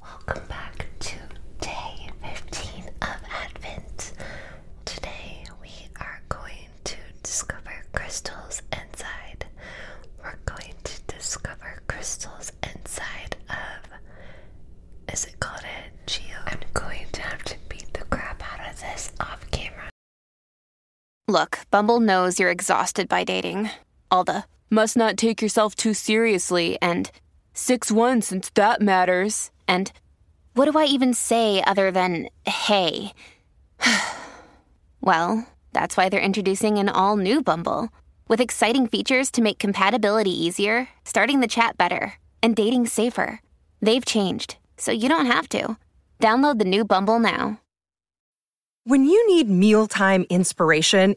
Welcome back to 15 of Advent. Today we are going to discover crystals inside. We're going to discover crystals inside of. Is it called a I'm going to have to beat the crap out of this off camera. Look, Bumble knows you're exhausted by dating all the must not take yourself too seriously and 6 1 since that matters, and what do I even say other than hey? well, that's why they're introducing an all new Bumble with exciting features to make compatibility easier, starting the chat better, and dating safer. They've changed, so you don't have to. Download the new Bumble now. When you need mealtime inspiration,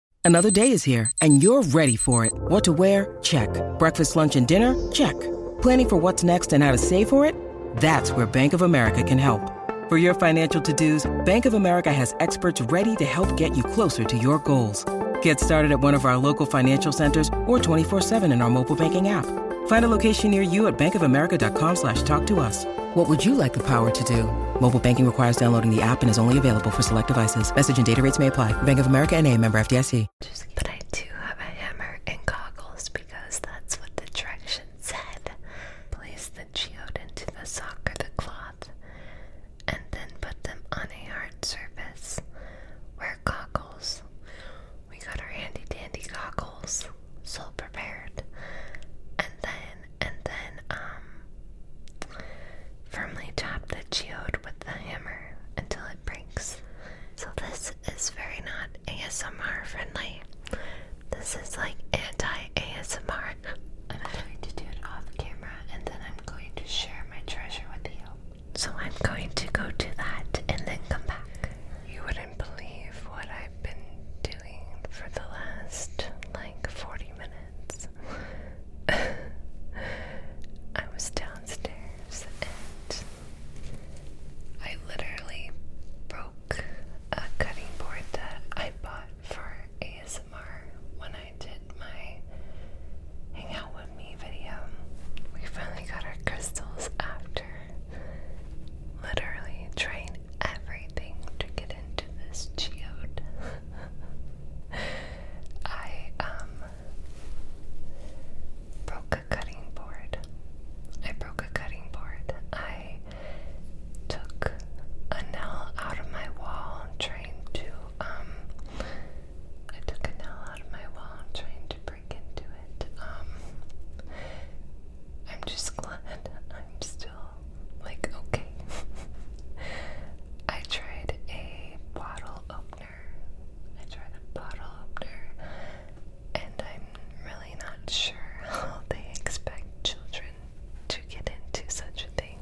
Another day is here, and you're ready for it. What to wear? Check. Breakfast, lunch, and dinner? Check. Planning for what's next and how to save for it? That's where Bank of America can help. For your financial to-dos, Bank of America has experts ready to help get you closer to your goals. Get started at one of our local financial centers or 24-7 in our mobile banking app. Find a location near you at bankofamerica.com slash talk to us. What would you like the power to do? Mobile banking requires downloading the app and is only available for select devices. Message and data rates may apply. Bank of America and a member FDIC. But I do have a hammer and goggles because that's what the directions said. Place the geode into the sock or the cloth and then put them on a hard surface. Wear goggles. We got our handy dandy goggles, so prepared. And then and then um, firmly tap the geode with the hammer until it breaks. So this is very not ASMR friendly. This is like anti-ASMR. I'm going to do it off camera and then I'm going to share my treasure with you. So I'm going to go do that and then come back. You wouldn't believe what I I've been doing for the last like 40 minutes. I was downstairs and I literally broke a cutting board that I bought for ASMR when I did my Out with Me video. We finally got our crystals after literally trying everything to get into this geode. I um broke a cutting board. I broke a cutting board. I took a nail out of my wall trying to um I took a nail out of my wall trying to break into it. Um I'm just glad I'm still like, okay. I tried a bottle opener. I tried a bottle opener, and I'm really not sure how they expect children to get into such a thing.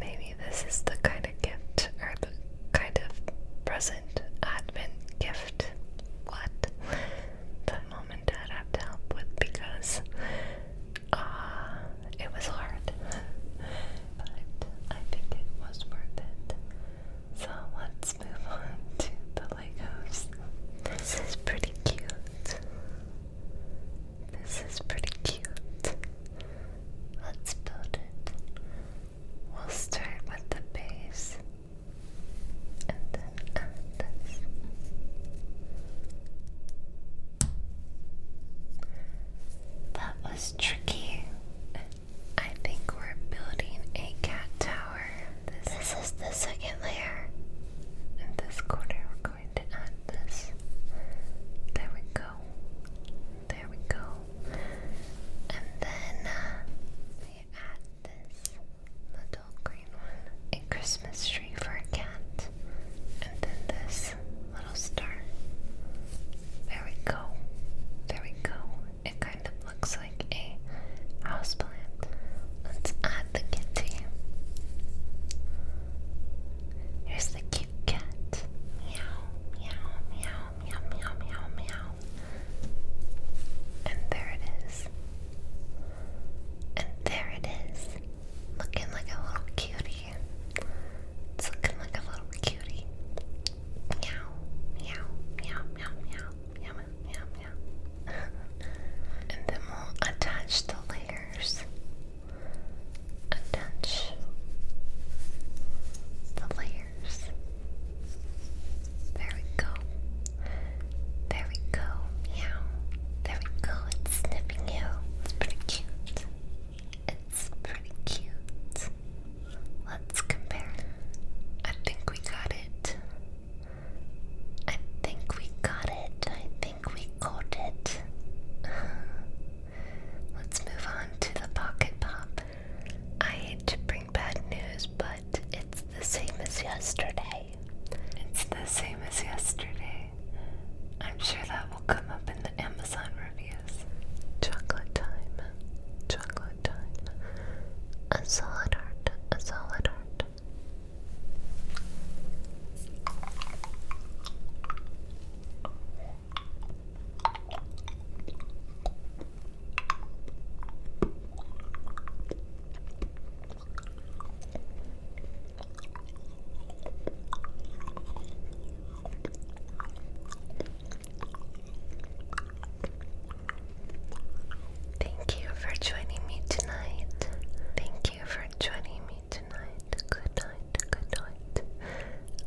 Maybe this is the kind of gift or the kind of present advent gift. What? But mom and dad have to help with because uh, it was hard. but I think it was worth it. So let's move on to the Legos. This is pretty cute. This is pretty cute. Let's build it. We'll start with the base and then add this. That was tricky. I think we're building a cat tower. This, is the second layer. In this corner, we're going to add this. There we go. There we go. And then uh, add this little green one, a Christmas tree for a cat, and then this little star. There we go. There we go. It kind of looks like a houseplant. Let's add the kitty. Here's the cute cat. Meow, meow, meow, meow, meow, meow, meow. And there it is. And there it is. Looking like a little cutie. It's looking like a little cutie. Meow, meow, meow, meow, meow, meow, meow, meow. and then we'll attach the layers. Attach the layers. There we go. There we meow. There we sniffing you. It's pretty cute. It's pretty cute. Let's compare. I think we got it. I think we got it. I think we got it. Let's move on to the pocket pop. I hate to break bring bad news, but it's the same as yesterday. It's the same as yesterday. I'm sure that will come up in the Amazon reviews. Chocolate time. Chocolate time. A solid heart. A solid heart. Thank you for joining me tonight. Thank you for joining me tonight. Good night, good night.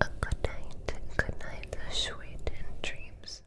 A good night, good night, sweet dreams.